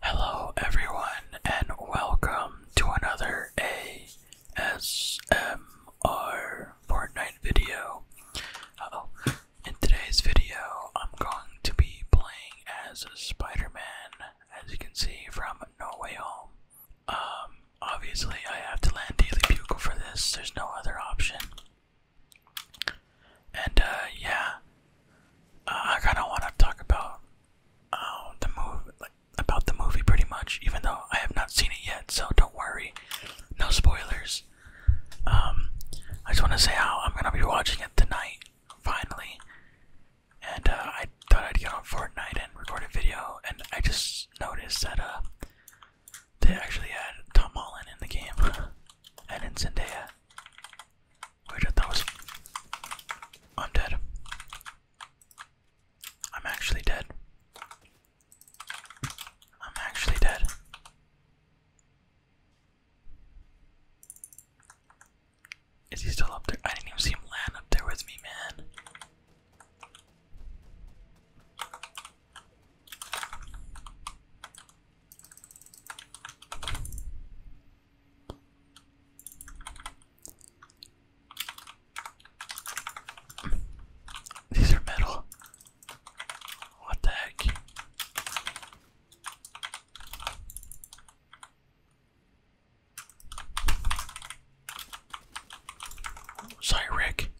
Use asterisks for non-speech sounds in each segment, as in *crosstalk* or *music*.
Hello, everyone, and welcome to another ASMR Fortnite video. In today's video, I'm going to be playing as Spider Man, as you can see from No Way Home. Um, obviously, I have to land Daily Bugle for this, there's no other option. And uh, yeah, uh, I kind of want to talk about uh, the movie, like about the movie, pretty much. Even though I have not seen it yet, so don't worry, no spoilers. Um, I just want to say how I'm gonna be watching it tonight, finally. And I thought I'd get on Fortnite and record a video, and I just noticed that uh, they actually had Tom Holland in the game. *laughs* And in Zendaya. Weird, I thought was. I'm dead. I'm actually dead. I'm actually dead. Is he still up there? I didn't even see him land up there with me, man. These are metal. What the heck? Sorry, Rick.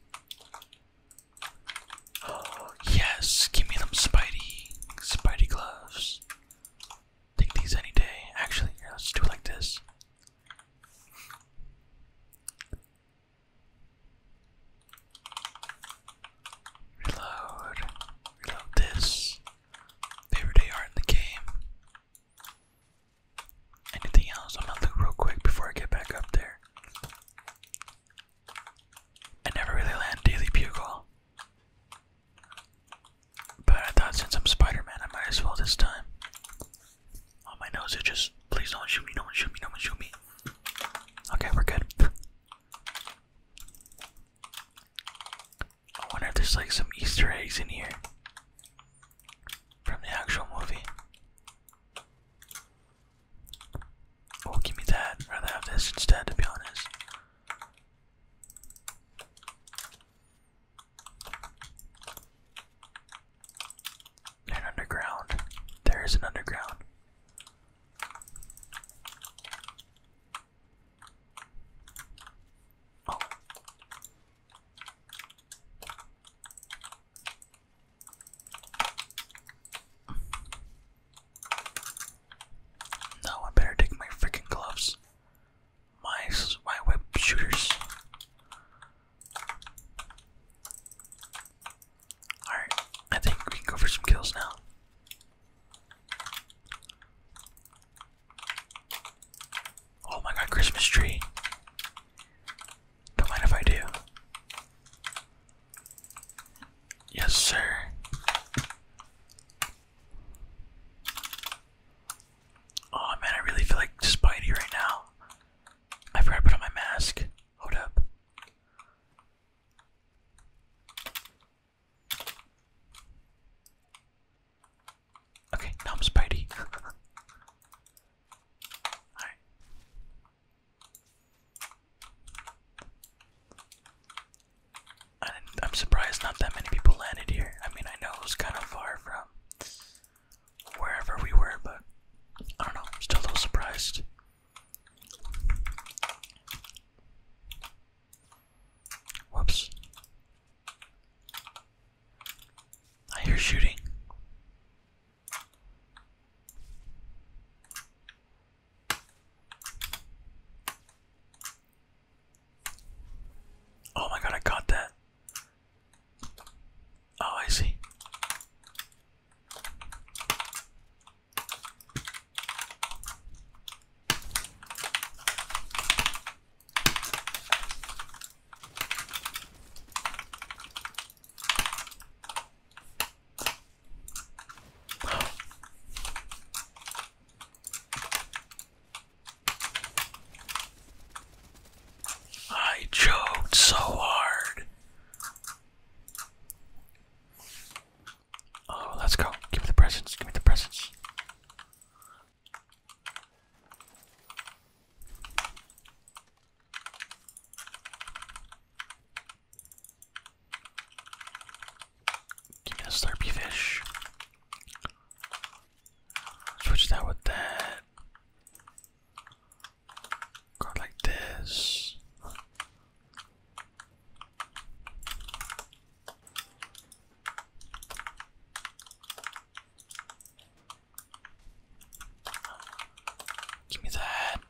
Oh, *gasps* yes, give me them Spidey, Spidey gloves. Take these any day. Actually, let's do like this. Reload, reload this. Favorite AR in the game. Anything else? I'm gonna look real quick before I get back up there. I never really land Daily Bugle. But I thought since I'm Spider-Man, I might as well this time. On oh, my nose it just, please don't shoot me, no one shoot me, no one shoot me. Okay, we're good. I wonder if there's like some Easter eggs in here. From the actual movie. Oh, give me that. I'd rather have this instead, to be honest. An underground. There is an underground. Oh. No, I better take my freaking gloves. My my web shooters. Alright, I think we can go for some kills now. Oh my god, Christmas tree. Don't mind if I do. Yes, sir. Oh man, I really feel like Spidey right now. I forgot put on my mask. Hold up. Okay, now I'm Spidey. *laughs* Alright. I am surprised not that many people landed here. I mean, I know it was kind of far from wherever we were, but I don't know. I'm still a little surprised. Whoops. I hear shooting. Oh my god, I got that. Oh, I see. I choked so hard. Oh, let's go. Give me the presents. Give me the presents. Give me a slurpy fish. Switch that with that. Go like this. Give me that.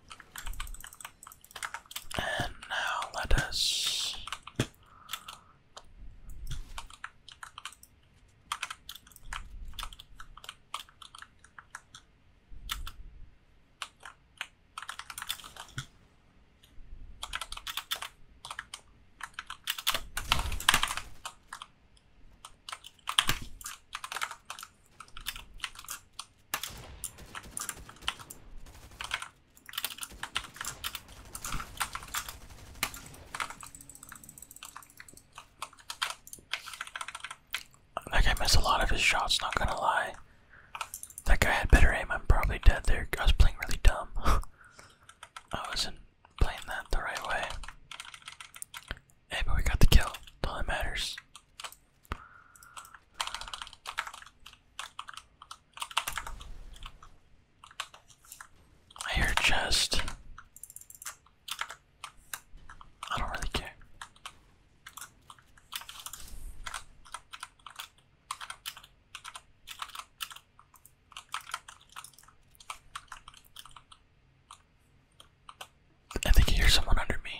And now let us. Like, I miss a lot of his shots, not gonna lie. That guy had better aim, I'm probably dead there. I was playing really dumb. *laughs* I wasn't playing that the right way. Hey, but we got the kill. all that matters. I hear chest. I don't really care. I think I hear someone under me.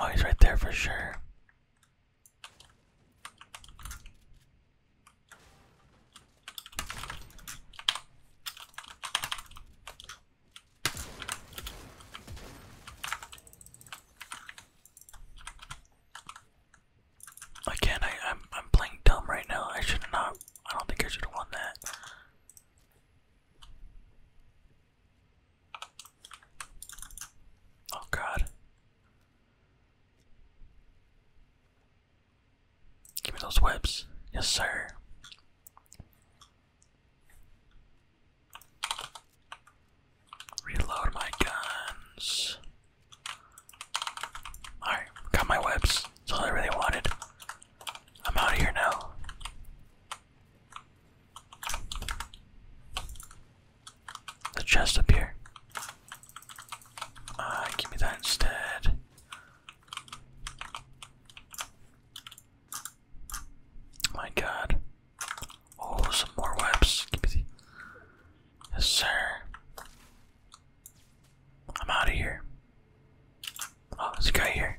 Oh, he's right there for sure. Again, I, am I'm playing dumb right now. I should not. I don't think I should have won that. Oh god. Give me those whips. Yes, sir. Reload my guns. Alright, got my webs. That's all I really wanted. I'm out of here now. The chest up here. Uh, give me that instead. My god. Oh, some more webs. Yes, sir. I'm out of here. Oh, there's a guy here.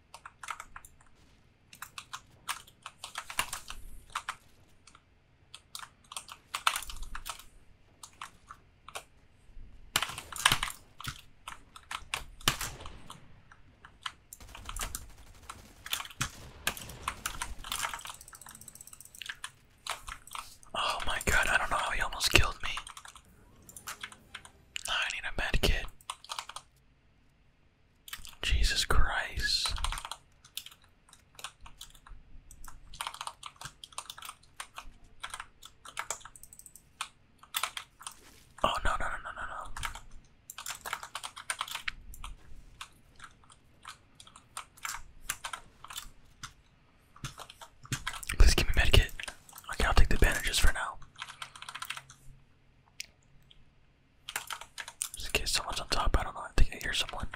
Oh my god, I don't know how he almost killed me. I need a med Jesus Christ. Oh, no, no, no, no, no, Please give me medkit. Okay, I'll take the bandages for now. Just in case someone's on top, I don't know, I think I hear someone.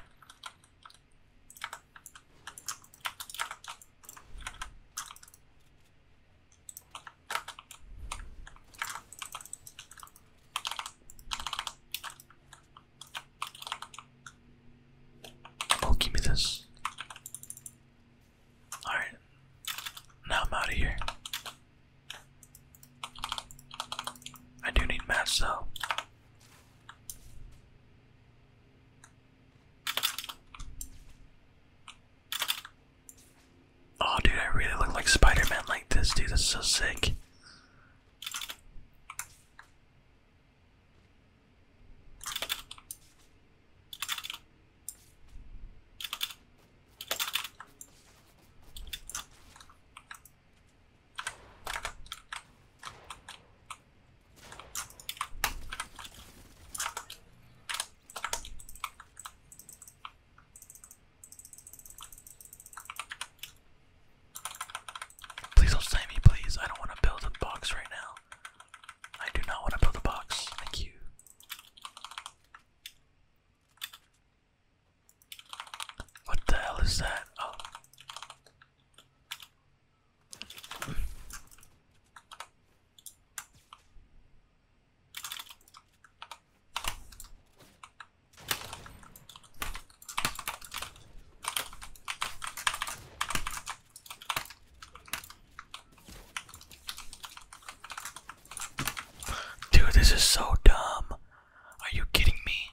Oh, give me this. Alright. Now I'm out of here. I do need mass though. Oh dude, I really look like Spider-Man like this, dude. is so sick. Please don't say me, please. I don't want to build a box right now. I do not want to build a box. Thank you. What the hell is that? Oh. Dude, this is so dumb. Are you kidding me?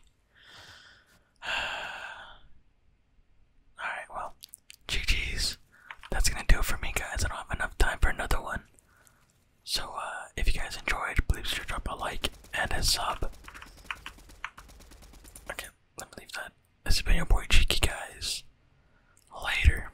*sighs* Alright, well, GG's. That's gonna do it for me, guys. I don't have enough time for another one. So, uh, if you guys enjoyed, please sure drop a like and a sub. Okay, let me leave that. This has been your boy Cheeky, guys. Later.